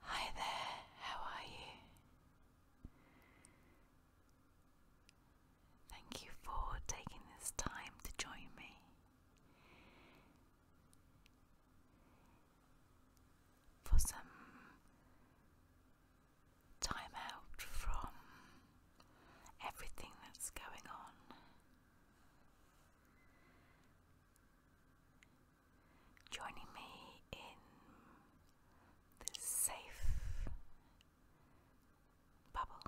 Hi there, how are you? Thank you for taking this time to join me. For some time out from everything that's going on, joining me in this safe bubble,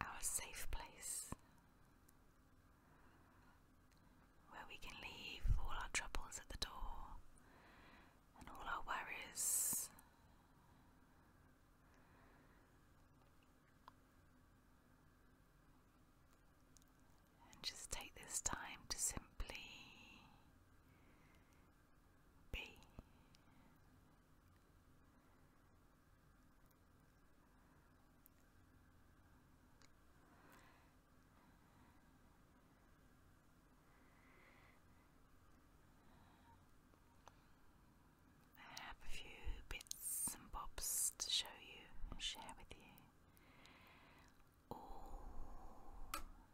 our safe place where we can leave all our troubles at the door and all our worries. And just take this time to simply be. I have a few bits and bobs to show you and share with you. All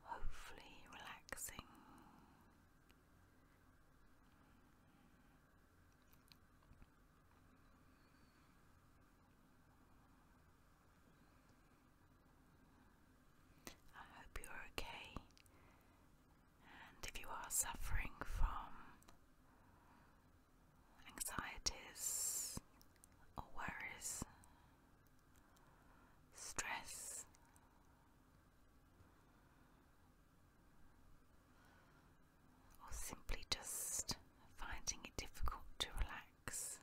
hopefully relaxing. I hope you're okay and if you are suffering from anxieties or worries, stress, or simply just finding it difficult to relax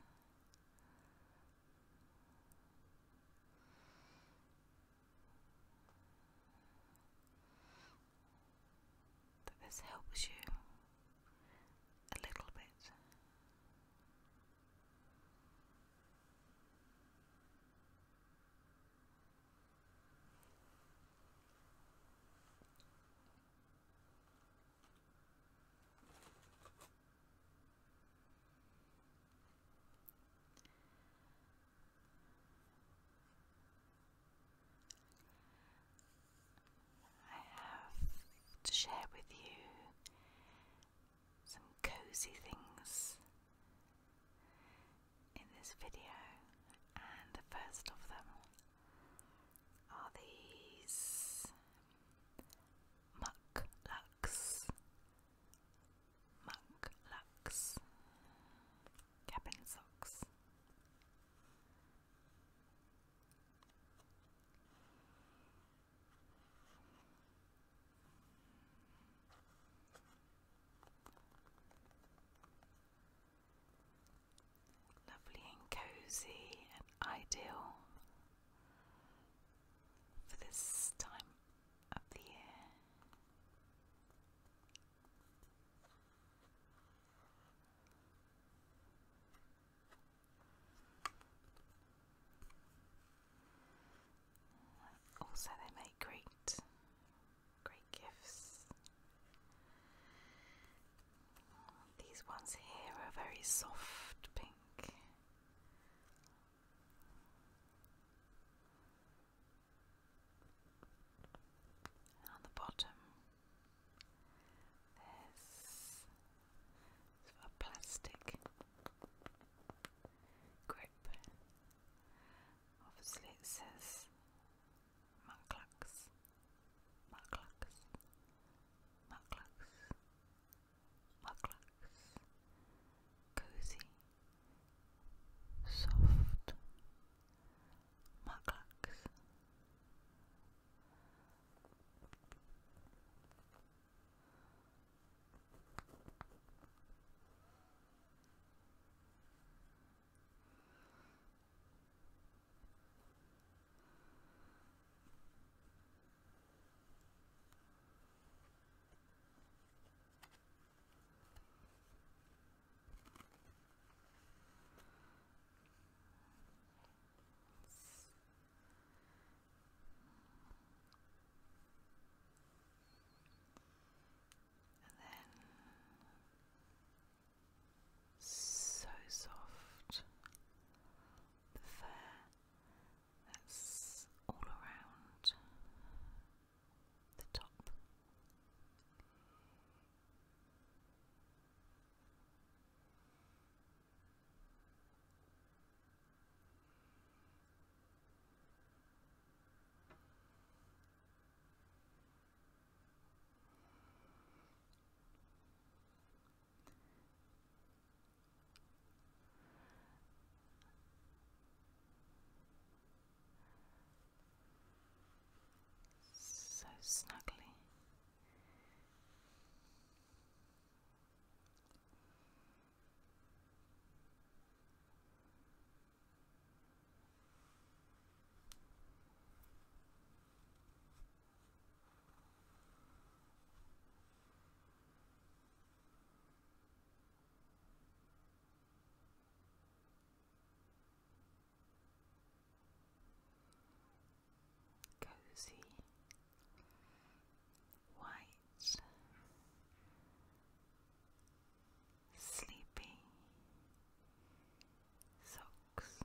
that this helps you a little bit. I have to share with you some cozy things in this video, and the first of them are these muck lucks. Cabin socks. Lovely and cozy and ideal for this time of the year. Also, they make great, great gifts. These ones here are very soft pink. And on the bottom, there's sort of a plastic grip. Obviously, it says Mucklux, Mucklux, Mucklux, Mucklux, Cozy soft mucklucks. And then so soft, the fur that's all around the top so snuggly cozy white sleepy socks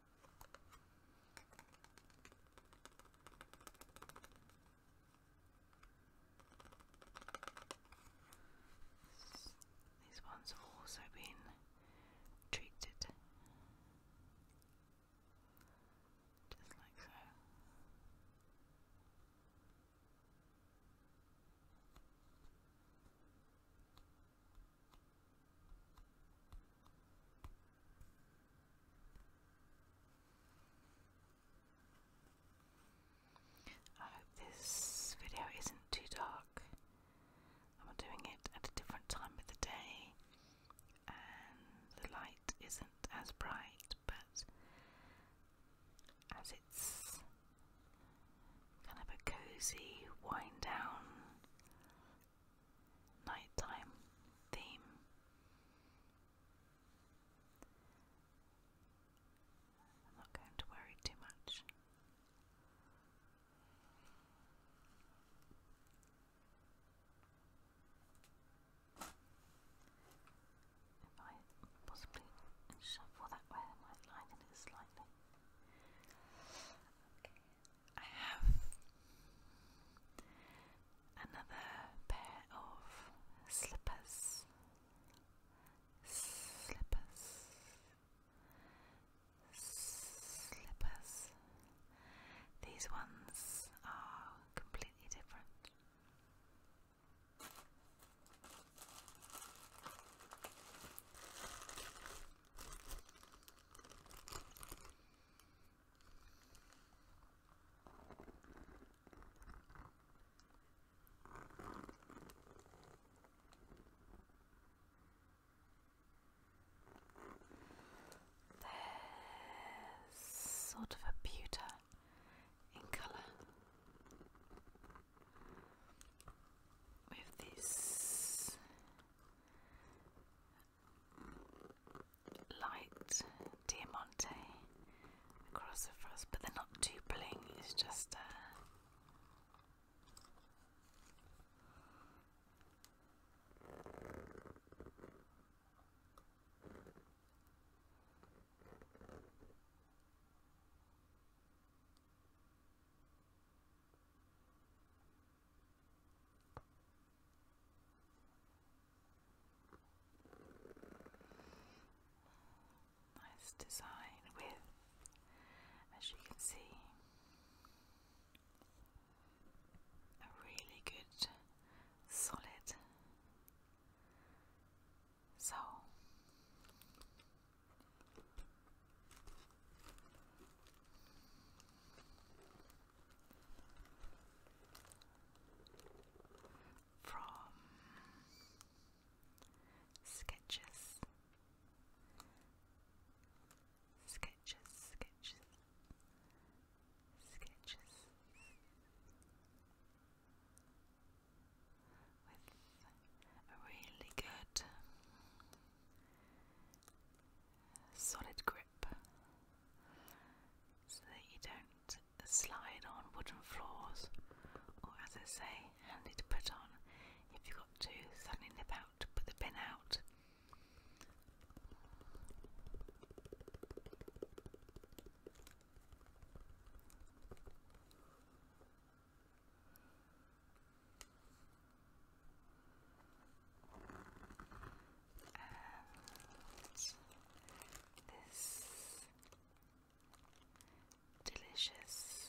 These ones have also been treated just like so. I hope this video isn't too dark. I'm doing it at a different time of the day and the light isn't as bright, but as it's kind of a cozy wind down nighttime theme. not going to worry too much. If I possibly shuffle that way, I might lighten it slightly. Okay. I have another pair of slippers, slippers, slippers. These ones are completely different. There's sort of a pewter in colour with these light diamante across the frost, but they're not too It's just a uh, Nice design with, as you can see, a really good solid so from sketches, sketches, sketches, sketches with a really good solid grip so that you don't slide on wooden floors or, as I say, handy to put on if you've got to suddenly nip out to put the bin out. And um, this delicious,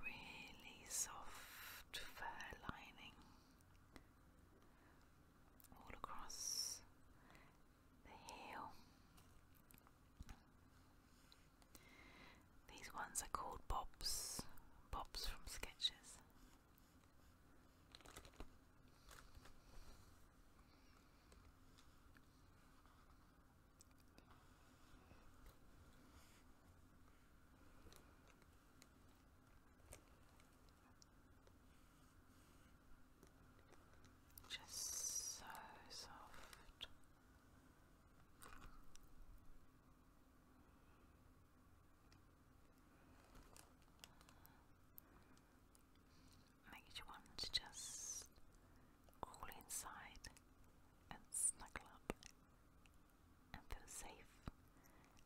really soft fur lining all across the heel. These ones are called bobs, bobs from Sketches. Just so soft. Makes you want to just crawl inside and snuggle up and feel safe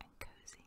and cozy.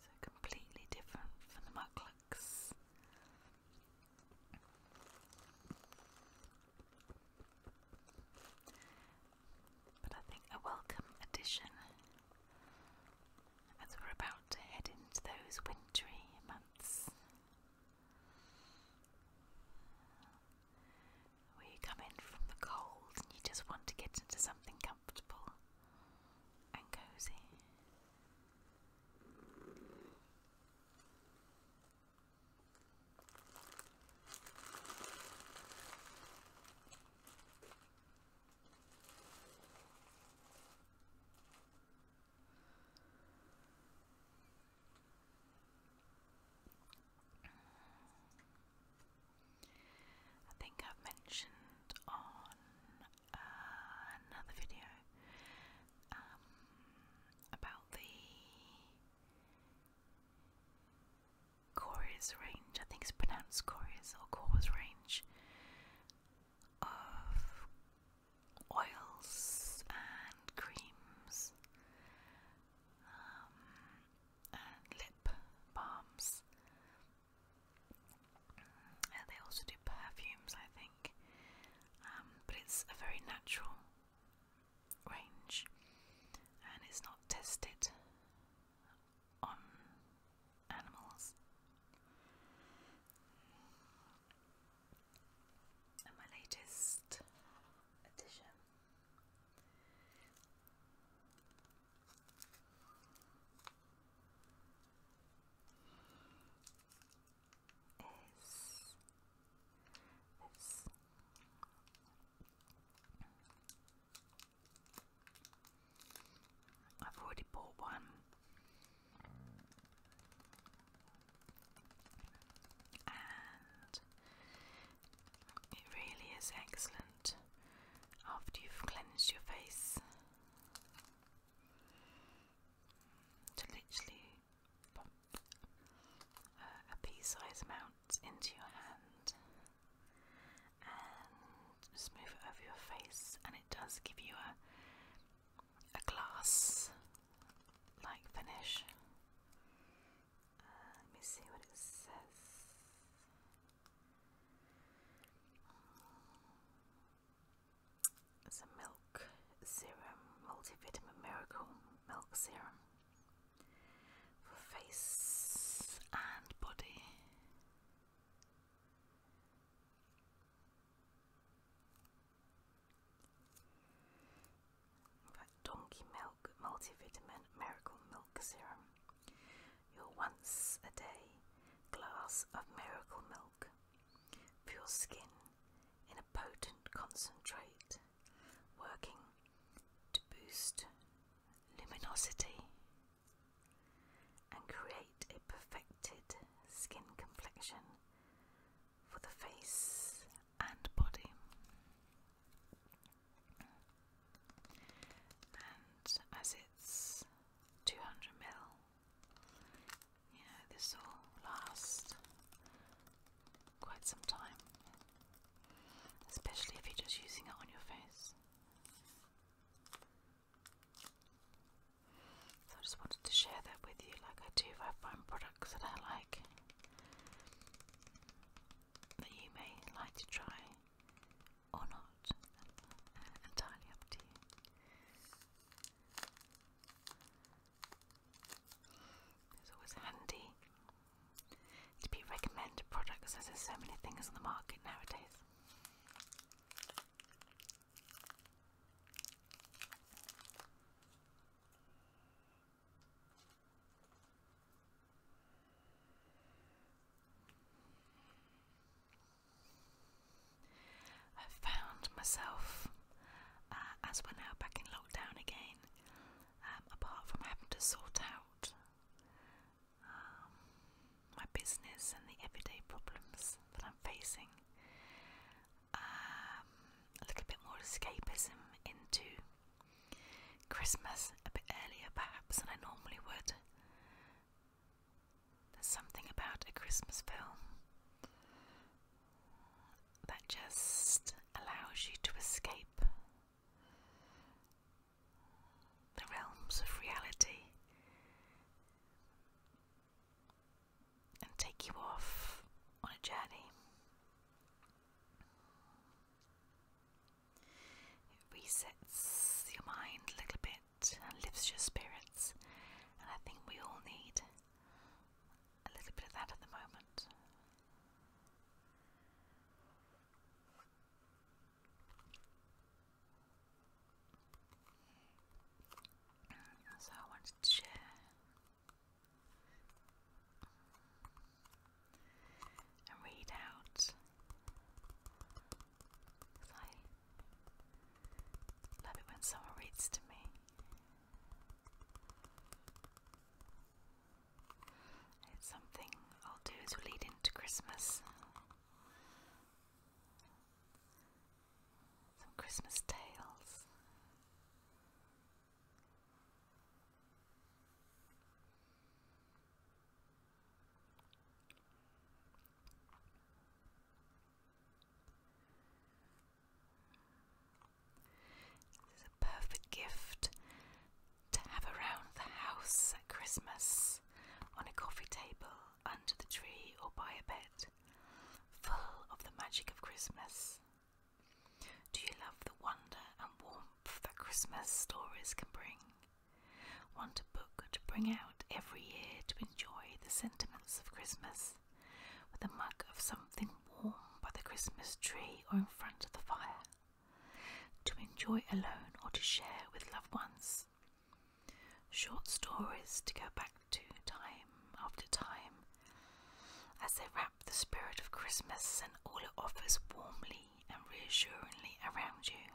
So completely different from the mucklucks. But I think a welcome addition as we're about to head into those wintry months. We come in from the cold and you just want to get into something comfortable and cozy. I think I've mentioned on uh, another video um, about the Corys range. I think it's pronounced Corys or Corys range of oils and creams um, and lip balms. And uh, they also do perfumes, I think, um, but it's a very natural range and it's not tested on animals and my latest edition. Is this? I've already bought one. And it really is excellent after you've cleansed your face to literally uh, a pea size amount into your hand and just move it over your face, and it does give you a a glass like finish. Uh, let me see what it says. It's a milk serum, multivitamin miracle milk serum for face and body donkey milk multivitamin miracle milk serum. Your once a day glass of miracle milk. for your skin in a potent concentrate working to boost luminosity and create a perfected skin complexion for the face and body. And as it's 200ml, you this will last quite some time, especially if you're just using it on your face. So I just wanted to share that with you like I do if I find products that I like that you may like to try or not. Uh, entirely up to you. It's always handy to be recommended products as there's so many things on the market nowadays. I found myself, uh, as we're now back in lockdown again, um, apart from having to sort out um, my business and the everyday problems that I'm facing. Um, a little bit more escapism into Christmas a bit earlier, perhaps, than I normally would. There's something about a Christmas film that just allows you to escape the realms of reality and take you off on a journey. It resets your mind a little bit and lifts your spirits, and I think we all need a little bit of that at the moment. So I wanted to share and read out I love it when someone reads to me. It's something I'll do as we lead into Christmas. Some Christmas tales. This is a perfect gift to have around the house at Christmas on a coffee table under the tree or by a bed, full of the magic of Christmas. Do you love the wonder and warmth that Christmas stories can bring? Want a book to bring out every year to enjoy the sentiments of Christmas, with a mug of something warm by the Christmas tree or in front of the fire? To enjoy alone or to share with loved ones? Short stories to go back to time after time as they wrap the spirit of Christmas and all it offers warmly and reassuringly around you.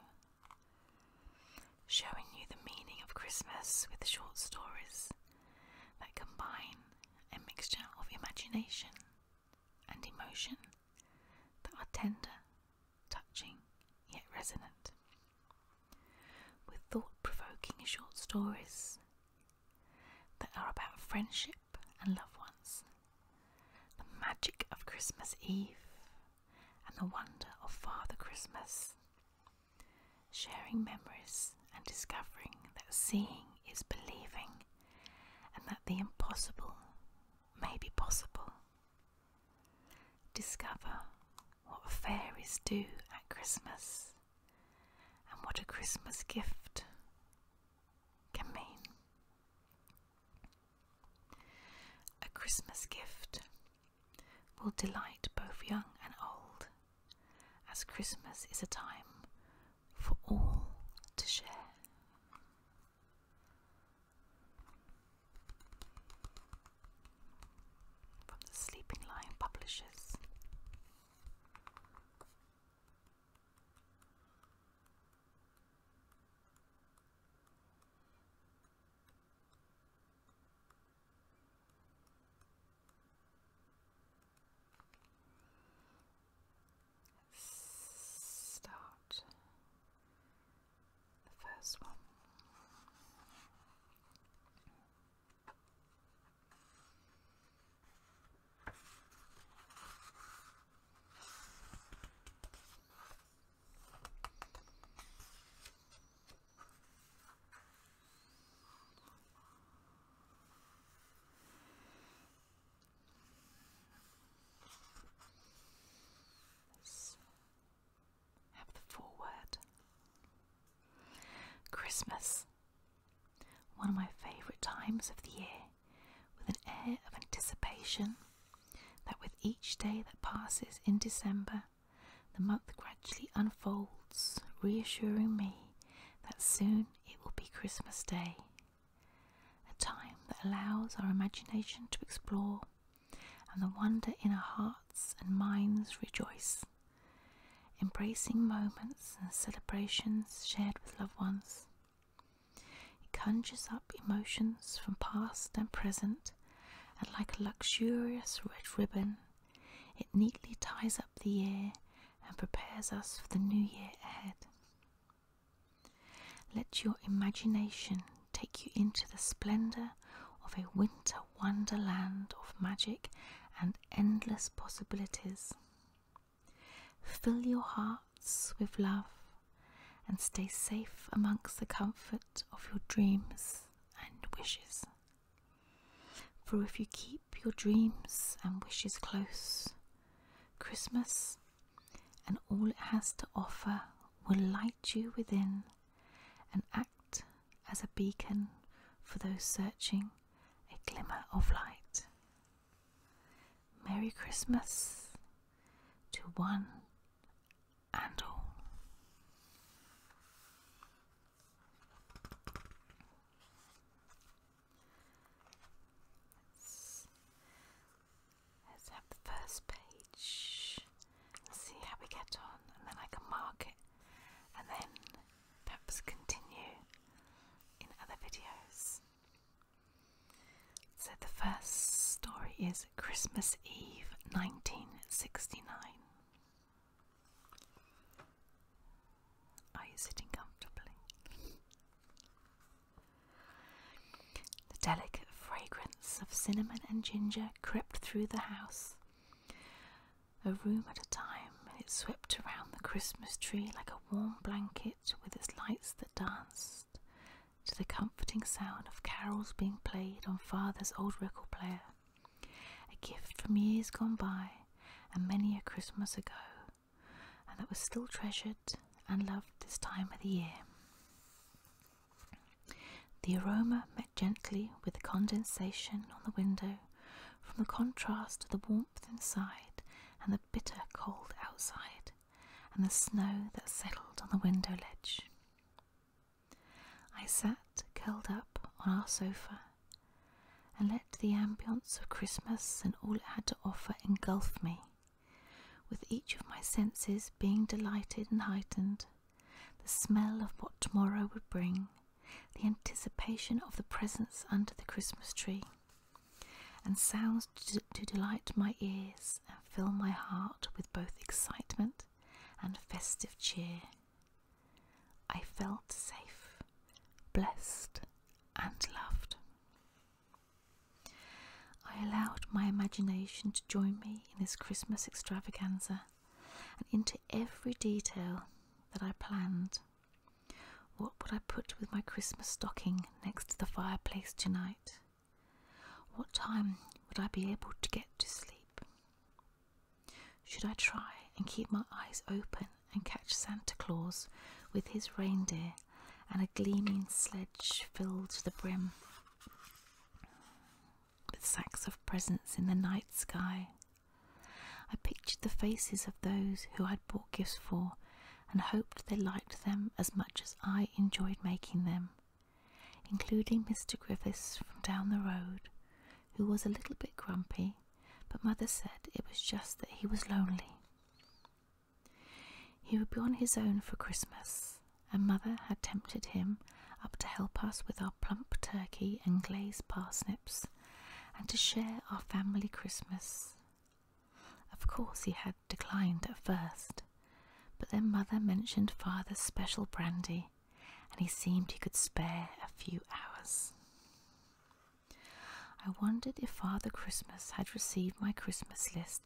Showing you the meaning of Christmas with short stories that combine a mixture of imagination and emotion that are tender touching yet resonant, with thought provoking short stories that are about friendship and loved ones, the magic of Christmas Eve, and the wonder of Father Christmas, sharing memories and discovering that seeing is believing and that the impossible may be possible. Discover what fairies do at Christmas and what a Christmas gift can mean. A Christmas gift will delight both young and old, as Christmas is a time for all to share. From the Sleeping Lion Publishers. Start the first one have the foreword. Christmas, one of my favourite times of the year, with an air of anticipation that with each day that passes in December, the month gradually unfolds, reassuring me that soon it will be Christmas Day. A time that allows our imagination to explore and the wonder in our hearts and minds rejoice, embracing moments and celebrations shared with loved ones. It conjures up emotions from past and present, and like a luxurious red ribbon, it neatly ties up the year and prepares us for the new year ahead. Let your imagination take you into the splendor of a winter wonderland of magic and endless possibilities. Fill your hearts with love and stay safe amongst the comfort of your dreams and wishes. For if you keep your dreams and wishes close, Christmas and all it has to offer will light you within and act as a beacon for those searching a glimmer of light. Merry Christmas to one and all. Let's have the first page. let see how we get on, and then I can mark it, and then perhaps continue in other videos. So the first story is Christmas Eve 1969. Are you sitting comfortably? The delicate fragrance of cinnamon and ginger crept through the house. A room at a time, and it swept around the Christmas tree like a warm blanket with its lights that danced to the comforting sound of carols being played on Father's old record player. A gift from years gone by and many a Christmas ago, and that was still treasured and loved this time of the year. The aroma met gently with condensation on the window from the contrast of the warmth inside and the bitter cold outside, and the snow that settled on the window ledge. I sat curled up on our sofa and let the ambience of Christmas and all it had to offer engulf me, with each of my senses being delighted and heightened the smell of what tomorrow would bring, the anticipation of the presents under the Christmas tree, and sounds to, to delight my ears and fill my heart with both excitement and festive cheer. I felt safe, blessed, and loved. I allowed my imagination to join me in this Christmas extravaganza and into every detail that I planned. What would I put with my Christmas stocking next to the fireplace tonight? What time would I be able to get to sleep? Should I try and keep my eyes open and catch Santa Claus with his reindeer and a gleaming sledge filled to the brim? with sacks of presents in the night sky. I pictured the faces of those who I'd bought gifts for and hoped they liked them as much as I enjoyed making them, including Mr. Griffiths from down the road, who was a little bit grumpy, but Mother said it was just that he was lonely. He would be on his own for Christmas, and mother had tempted him up to help us with our plump turkey and glazed parsnips and to share our family Christmas. Of course, he had declined at first, but then mother mentioned father's special brandy, and he seemed he could spare a few hours. I wondered if Father Christmas had received my Christmas list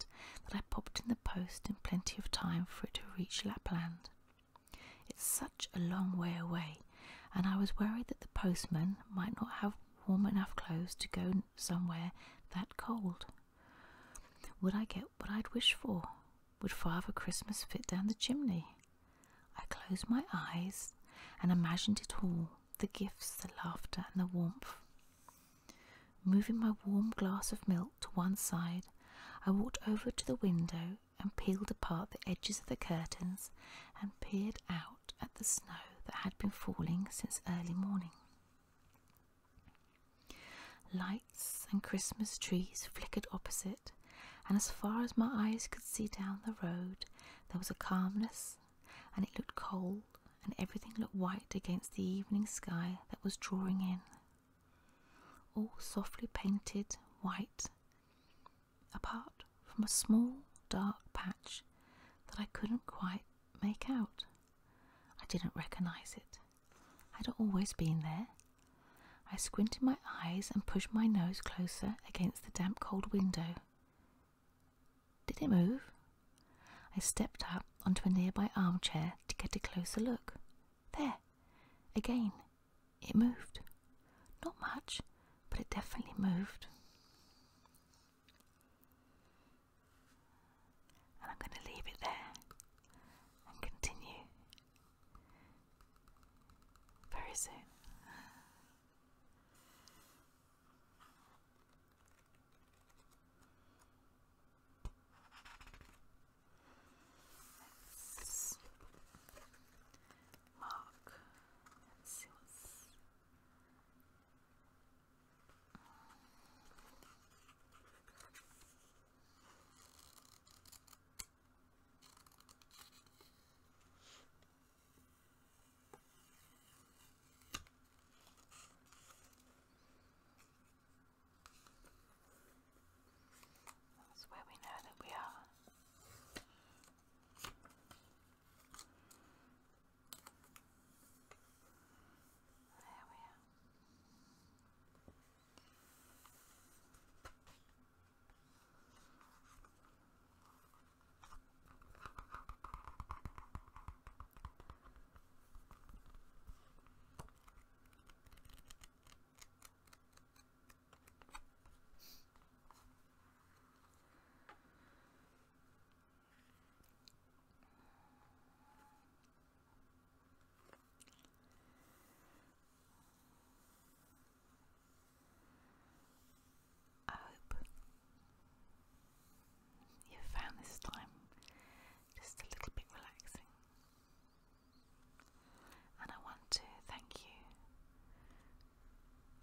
that I popped in the post in plenty of time for it to reach Lapland. It's such a long way away, and I was worried that the postman might not have warm enough clothes to go somewhere that cold. Would I get what I'd wish for? Would Father Christmas fit down the chimney? I closed my eyes and imagined it all the gifts, the laughter, and the warmth. Moving my warm glass of milk to one side, I walked over to the window and peeled apart the edges of the curtains and peered out at the snow that had been falling since early morning. Lights and Christmas trees flickered opposite, and as far as my eyes could see down the road, there was a calmness, and it looked cold, and everything looked white against the evening sky that was drawing in all softly painted white, apart from a small dark patch that I couldn't quite make out. I didn't recognize it. Had it always been there? I squinted my eyes and pushed my nose closer against the damp cold window. Did it move? I stepped up onto a nearby armchair to get a closer look. There. Again. It moved. Not much, but it definitely moved. And I'm going to leave it there and continue very soon. Let's mark and see what's. That's where we know that we are. There we are. I hope you found this time just a little bit relaxing. And I want to thank you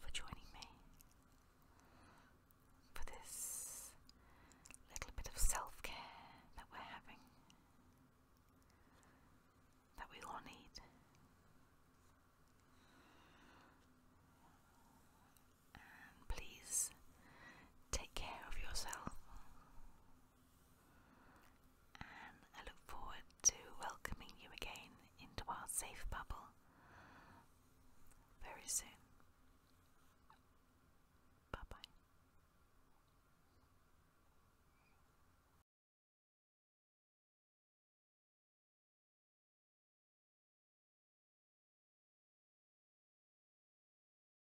for joining me for this little bit of self care that we're having, that we all need. And please take care of yourself. And I look forward to welcoming you again into our safe bubble very soon. Bye bye.